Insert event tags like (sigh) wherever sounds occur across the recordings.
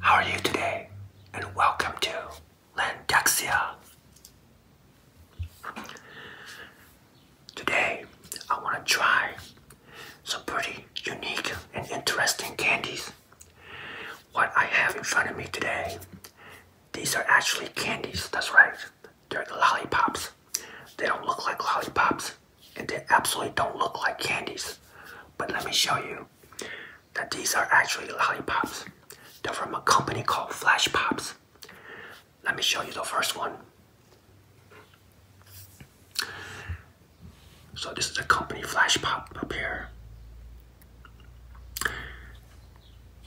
How are you today? And welcome to Landaxia. Today, I want to try some pretty unique and interesting candies. What I have in front of me today, these are actually candies, that's right. They're lollipops. They don't look like lollipops, and they absolutely don't look like candies. But let me show you that these are actually lollipops. They're from a company called Flash Pops. Let me show you the first one. So this is a company flash pop up here.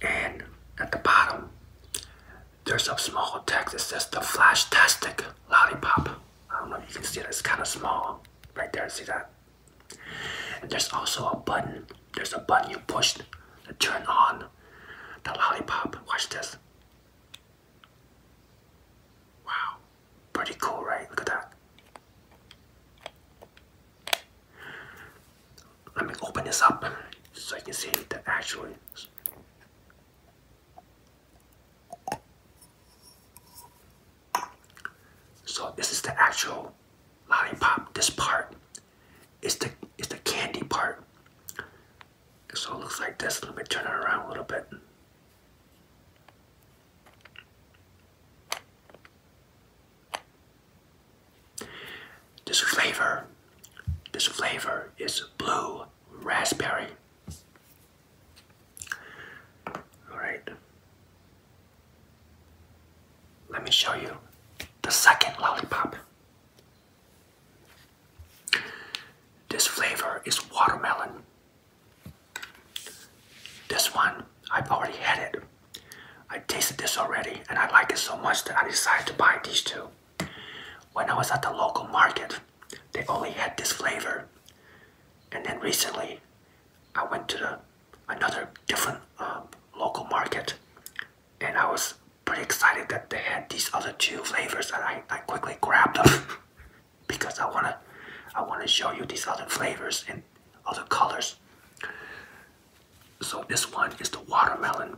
And at the bottom, there's a small text It says the flash tastic lollipop. I don't know if you can see it. it's kind of small. Right there, see that? And there's also a button. There's a button you push to turn on the lollipop. Watch this. Wow, pretty cool, right? Look at that. Let me open this up so you can see the actual. So this is the actual lollipop. This part is the is the candy part. So it looks like this. Let me turn it around a little bit. This flavor, this flavor is blue raspberry. All right. Let me show you the second lollipop. This flavor is watermelon. This one, I've already had it. I tasted this already and I like it so much that I decided to buy these two. When I was at the local market, they only had this flavor. And then recently, I went to the, another different uh, local market and I was pretty excited that they had these other two flavors and I, I quickly grabbed them. (laughs) because I wanna I wanna show you these other flavors and other colors. So this one is the watermelon.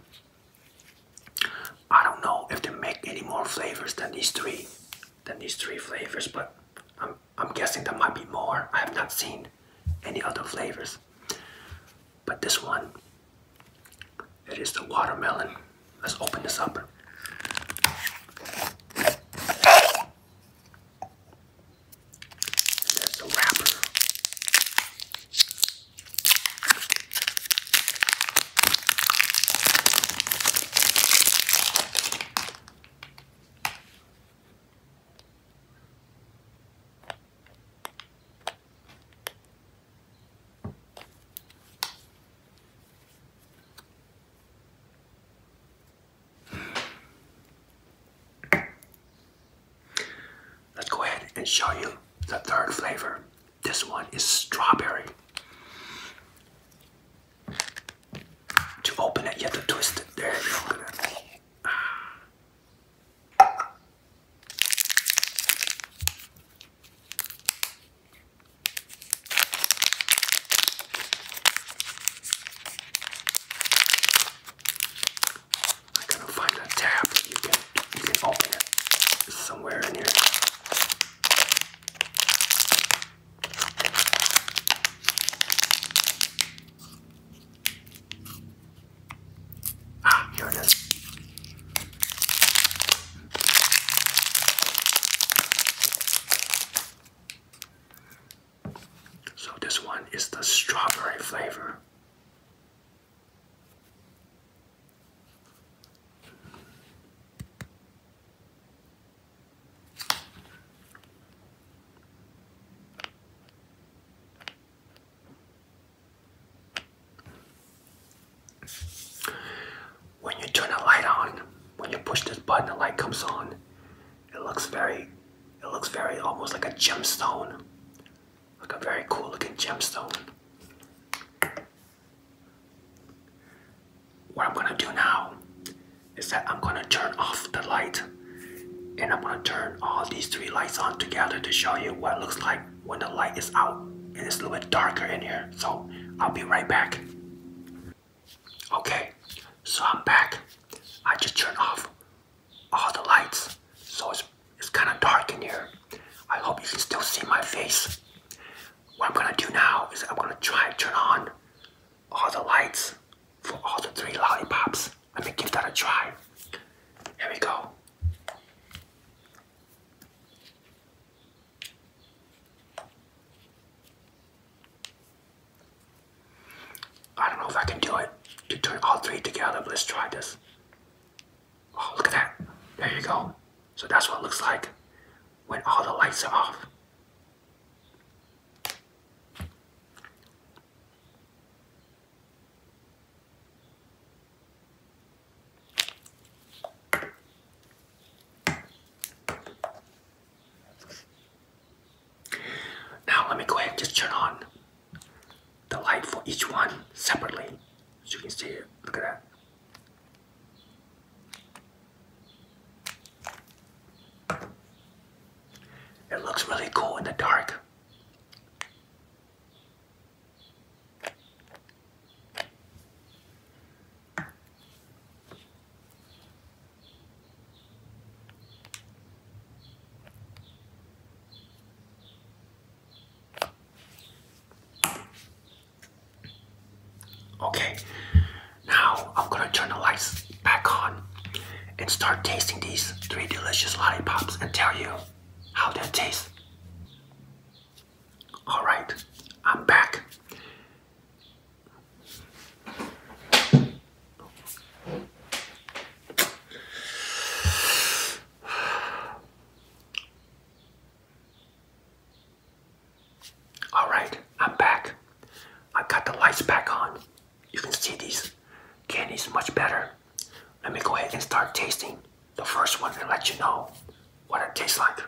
I don't know if they make any more flavors than these three than these three flavors, but I'm I'm guessing there might be more. I have not seen any other flavors. But this one it is the watermelon. Let's open this up. There's the wrapper. Let's go ahead and show you the third flavor. This one is strawberry. To open it, you have to twist it. There you open I couldn't find a tab. You can you can open it somewhere in here. Ah, here it is. So this one is the strawberry flavor. When you turn a light on, when you push this button, the light comes on. It looks very, it looks very almost like a gemstone, like a very cool looking gemstone. What I'm gonna do now is that I'm gonna turn off the light and I'm gonna turn all these three lights on together to show you what it looks like when the light is out and it's a little bit darker in here. So I'll be right back. Okay, so I'm back. I just turned off all the lights, so it's, it's kind of dark in here. I hope you can still see my face. What I'm gonna do now is I'm gonna try to turn on all the lights for all the three lollipops. Let me give that a try. Here we go. I don't know if I can do it to turn all three together, let's try this. Oh, look at that. There you go. So that's what it looks like when all the lights are off. Now let me go ahead and just turn on the light for each one separately. so you can see it, look at that. It looks really cool in the dark. Okay, now I'm gonna turn the lights back on and start tasting these three delicious lollipops and tell you how they taste. Alright, I'm back. All right, I'm back. I got the lights back on. You can see these candies much better. Let me go ahead and start tasting the first one and let you know what it tastes like.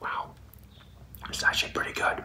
Wow, it's actually pretty good.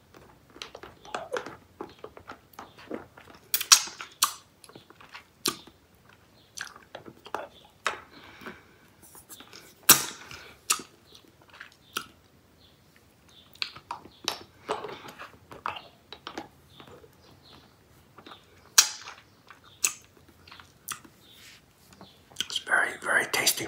It's very, very tasty.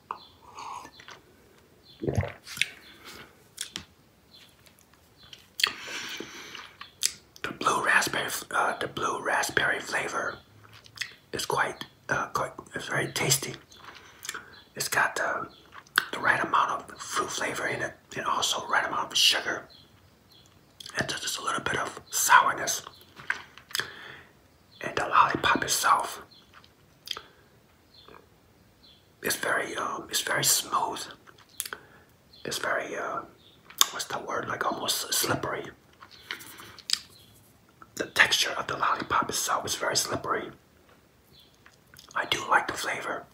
The blue raspberry, uh, the blue raspberry flavor is quite, uh, quite, it's very tasty. It's got the, the right amount of fruit flavor in it, and also right amount of sugar, and just a little bit of sourness and the lollipop itself it's very um it's very smooth it's very uh what's the word like almost slippery the texture of the lollipop itself is very slippery i do like the flavor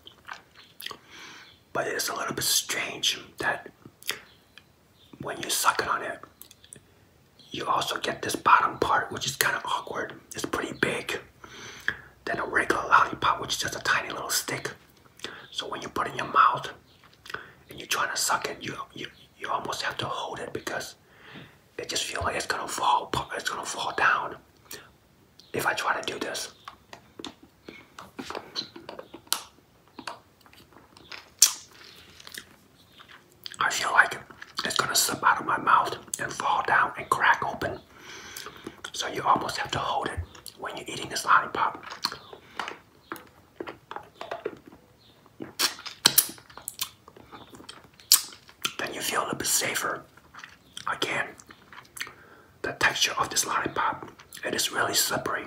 but it's a little bit strange that when you suck it on it you also get this bottom part, which is kind of awkward. It's pretty big Then a regular lollipop, which is just a tiny little stick. So when you put it in your mouth and you're trying to suck it, you you you almost have to hold it because it just feels like it's gonna fall. It's gonna fall down if I try to do this. I feel like it's gonna slip out of my mouth and fall down and crack open. So you almost have to hold it when you're eating this lollipop. Then you feel a bit safer. Again, the texture of this lollipop, it is really slippery.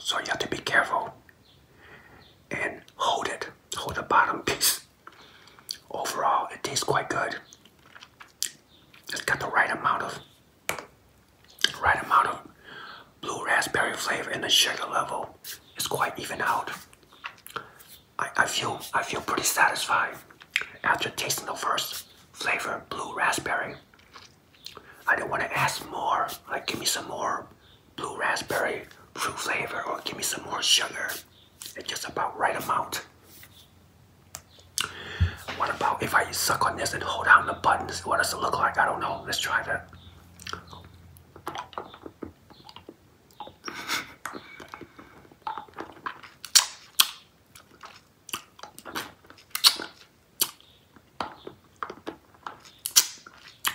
So you have to be careful and hold it Hold the bottom piece. Overall, it tastes quite good. It's got the right amount of right amount of blue raspberry flavor and the sugar level is quite even out. I, I feel I feel pretty satisfied after tasting the first flavor, blue raspberry. I do not want to ask more, like give me some more blue raspberry, true flavor, or give me some more sugar. It's just about right amount. What about if I suck on this and hold down the buttons? What does it look like? I don't know. Let's try that.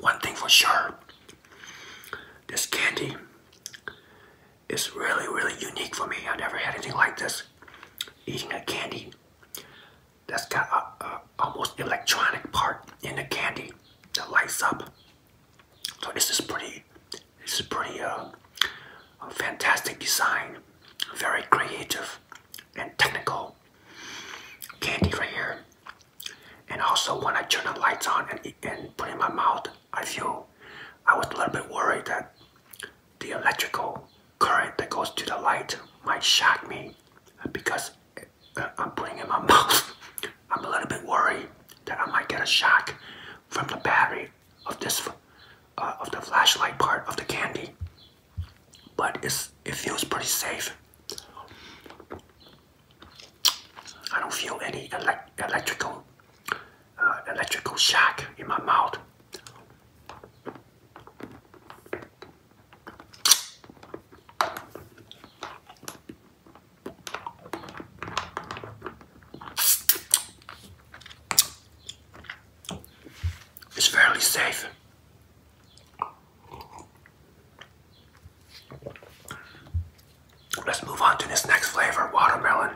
one thing for sure this candy is really really unique for me i never had anything like this eating a candy that's got a, almost electronic part in the candy that lights up so this is pretty this is pretty uh, fantastic design very creative and technical candy right here. And also when I turn the lights on and, and put in my mouth, I feel I was a little bit worried that the electrical current that goes to the light might shock me because uh, I'm putting in my (laughs) mouth. I'm a little bit worried that I might get a shock from the battery of this uh, of the flashlight part of the candy but it's it feels pretty safe. I don't feel any electrical uh, electrical shock in my mouth. It's fairly safe. Let's move on to this next flavor, watermelon.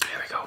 Here we go.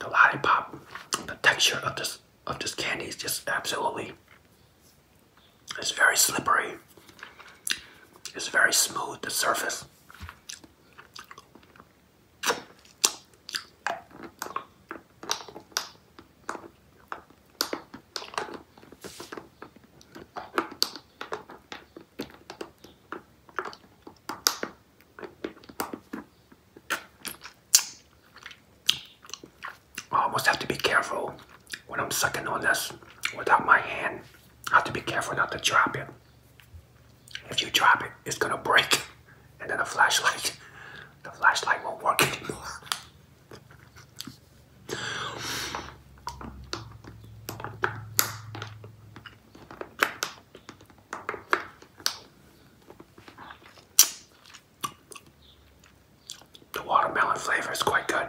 The lollipop, the texture of this of this candy is just absolutely it's very slippery. It's very smooth the surface. I almost have to be careful when I'm sucking on this without my hand. I have to be careful not to drop it. If you drop it, it's gonna break. (laughs) And then the flashlight, (laughs) the flashlight won't work anymore. The watermelon flavor is quite good.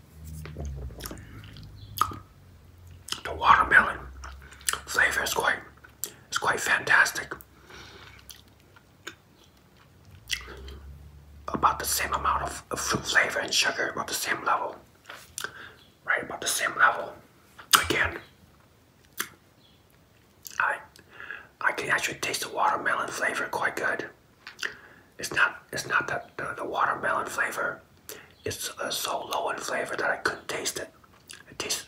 The watermelon flavor is quite it's quite fantastic. About the same amount of, of fruit flavor and sugar, about the same level. Right about the same level. Again, I I can actually taste the watermelon flavor quite good. It's not. It's not the, the watermelon flavor. It's so low in flavor that I couldn't taste it. It tastes.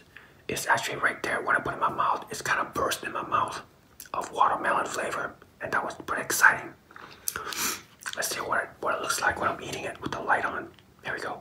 It's actually right there when I put it in my mouth. It's kind of burst in my mouth of watermelon flavor, and that was pretty exciting. Let's see what what it looks like when I'm eating it with the light on. There we go.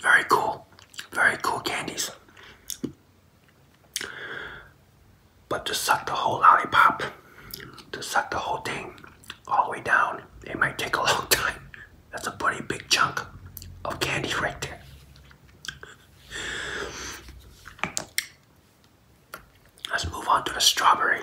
Very cool. Very cool candies. But to suck the whole lollipop, to suck the whole thing all the way down, it might take a (laughs) long time. That's a pretty big chunk of candy right there. Let's move on to the strawberry.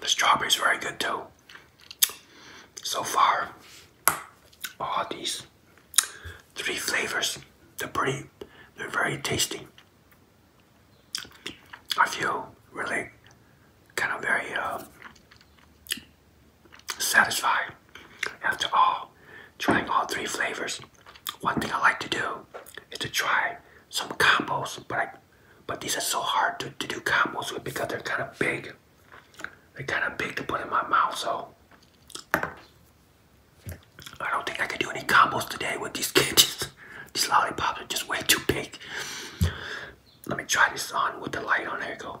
The strawberries are very good too. So far, all these three flavors, they're pretty, they're very tasty. I feel really kind of very uh, satisfied after all trying all three flavors. One thing I like to do is to try some combos, but I, but these are so hard to, to do combos with because they're kind of big. They're kind of big to put in my mouth, so I don't think I can do any combos today with these candies. (laughs) these lollipops are just way too big. Let me try this on with the light on. There you go.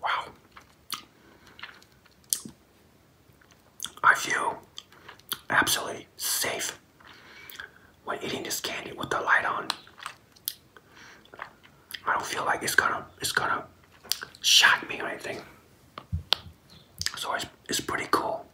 Wow. I feel absolutely safe when eating this candy with the light on. I don't feel like it's gonna it's gonna shock me or anything. So it's, it's pretty cool.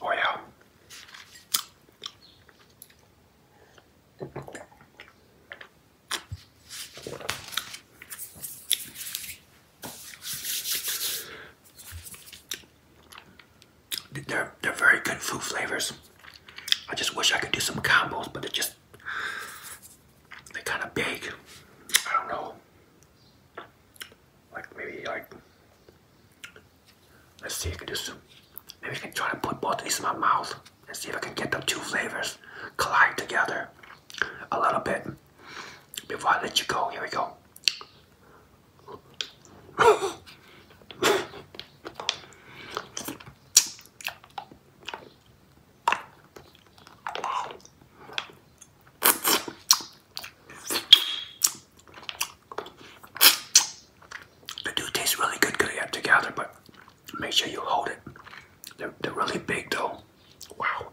Oh yeah. They're, they're very good food flavors. I just wish I could do some combos, but it just they're kind of big. I don't know, like maybe like let's see. if I can do some. maybe I can try to put both in my mouth and see if I can get the two flavors collide together a little bit before I let you go. Here we go. They do taste really good good together, but make sure you hold it. They're, they're really big though. Wow.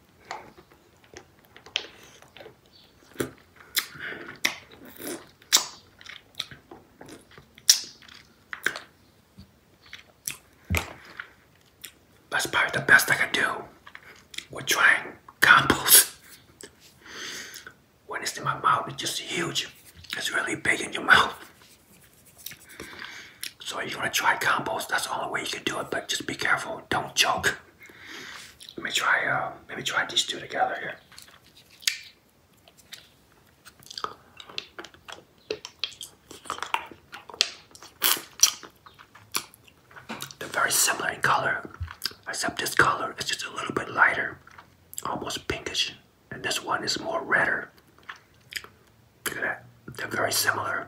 That's probably the best I can do We're trying combos. When it's in my mouth, it's just huge. It's really big in your mouth. So you want to try combos, that's the only way you can do it, but just be careful, don't choke. Let me try. Uh, let me try these two together here. They're very similar in color, except this color is just a little bit lighter, almost pinkish, and this one is more redder. Look at that. They're very similar.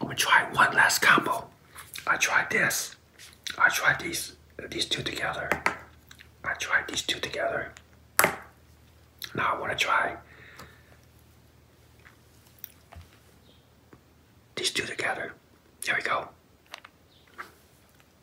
I'm gonna try one last combo. I tried this. I tried these these two together. I tried these two together. Now I want to try these two together. There we go.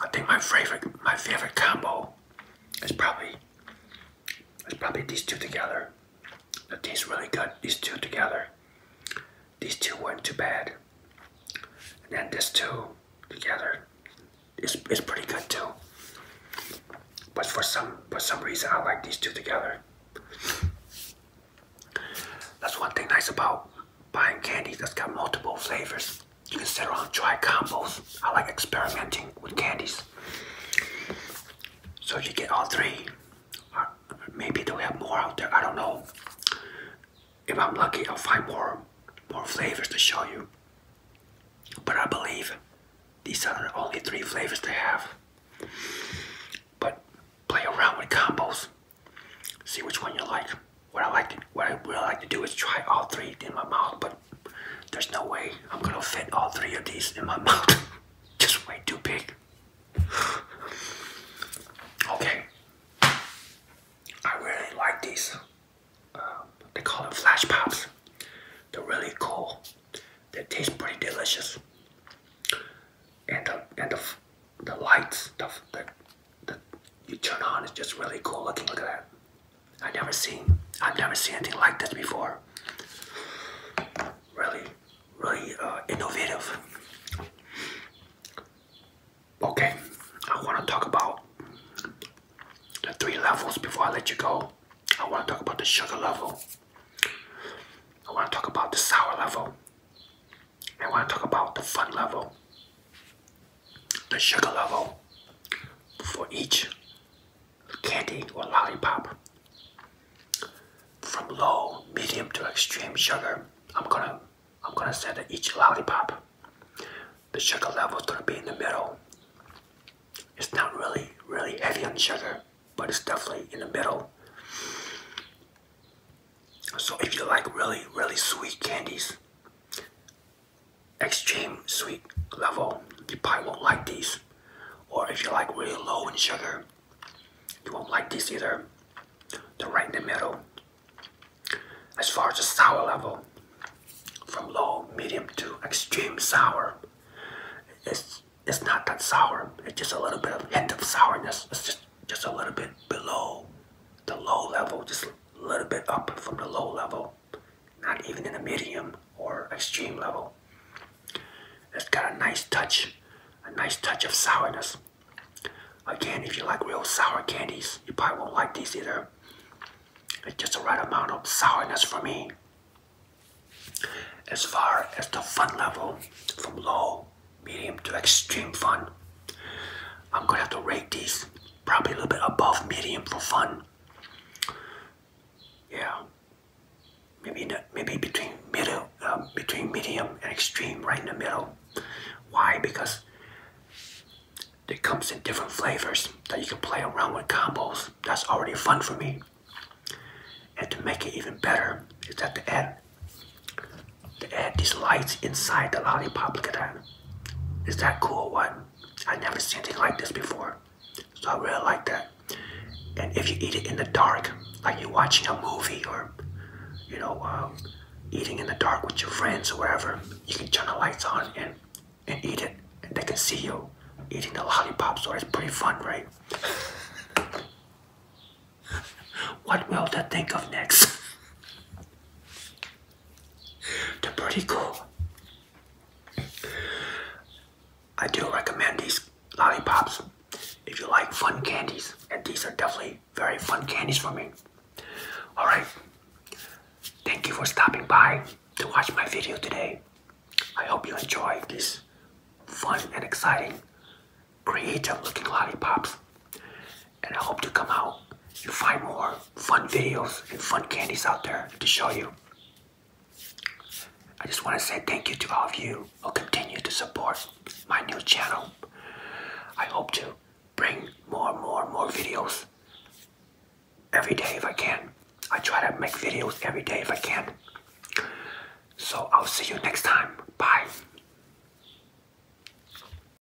I think my favorite my favorite combo is probably is probably these two together. That tastes really good. These two together. These two went too bad. And then this two together is is pretty good too. But for some for some reason I like these two together. That's one thing nice about buying candy that's got multiple flavors. You can sit around try combos. I like experimenting with candies. So you get all three. Uh, maybe they'll have more out there. I don't know. If I'm lucky, I'll find more, more flavors to show you. But I believe these are the only three flavors they have. But play around with combos. See which one you like what I like to, what I would like to do is try all three in my mouth, but there's no way I'm gonna fit all three of these in my (laughs) mouth. Just way too big. (sighs) okay. I really like these. Um, they call them flash pops. They're really cool. They taste pretty delicious. And the and the the lights, stuff the, you turn on It's just really cool looking. Look at that. I never seen I've never seen anything like this before. Really, really uh, innovative. Okay, I want to talk about the three levels before I let you go. I want to talk about the sugar level. I want to talk about the sour level. I want to talk about the fun level the sugar level for each candy or lollipop. From low, medium to extreme sugar, I'm gonna I'm gonna say that each lollipop, the sugar level is gonna be in the middle. It's not really really heavy on sugar, but it's definitely in the middle. So if you like really really sweet candies, extreme sweet level, you probably won't like these. Or if you like really low in sugar, you won't like these either. They're right in the middle. As far as the sour level, from low, medium to extreme sour, it's it's not that sour. It's just a little bit of hint of sourness. It's just just a little bit below the low level, just a little bit up from the low level, not even in the medium or extreme level. It's got a nice touch, a nice touch of sourness. Again, if you like real sour candies, you probably won't like these either. It's just the right amount of sourness for me. As far as the fun level, from low, medium to extreme fun, I'm gonna have to rate these probably a little bit above medium for fun. Yeah, maybe in maybe between middle, uh, between medium and extreme, right in the middle. Why? Because it comes in different flavors that you can play around with combos. That's already fun for me. And to make it even better, is that to add to add these lights inside the lollipop. Look is that cool one? I never seen anything like this before. So I really like that. And if you eat it in the dark, like you're watching a movie or, you know, um, eating in the dark with your friends or wherever, you can turn the lights on and, and eat it. And they can see you eating the lollipop, so it's pretty fun, right? (laughs) what will they think of next? (laughs) They're pretty cool. I do recommend these lollipops if you like fun candies, and these are definitely very fun candies for me. Alright, thank you for stopping by to watch my video today. I hope you enjoy these fun and exciting, creative looking lollipops and I hope to come out and find more fun videos and fun candies out there to show you. I just want to say thank you to all of you who continue to support my new channel. I hope to bring more and more and more videos every day if I can. I try to make videos every day if I can. So I'll see you next time. Bye.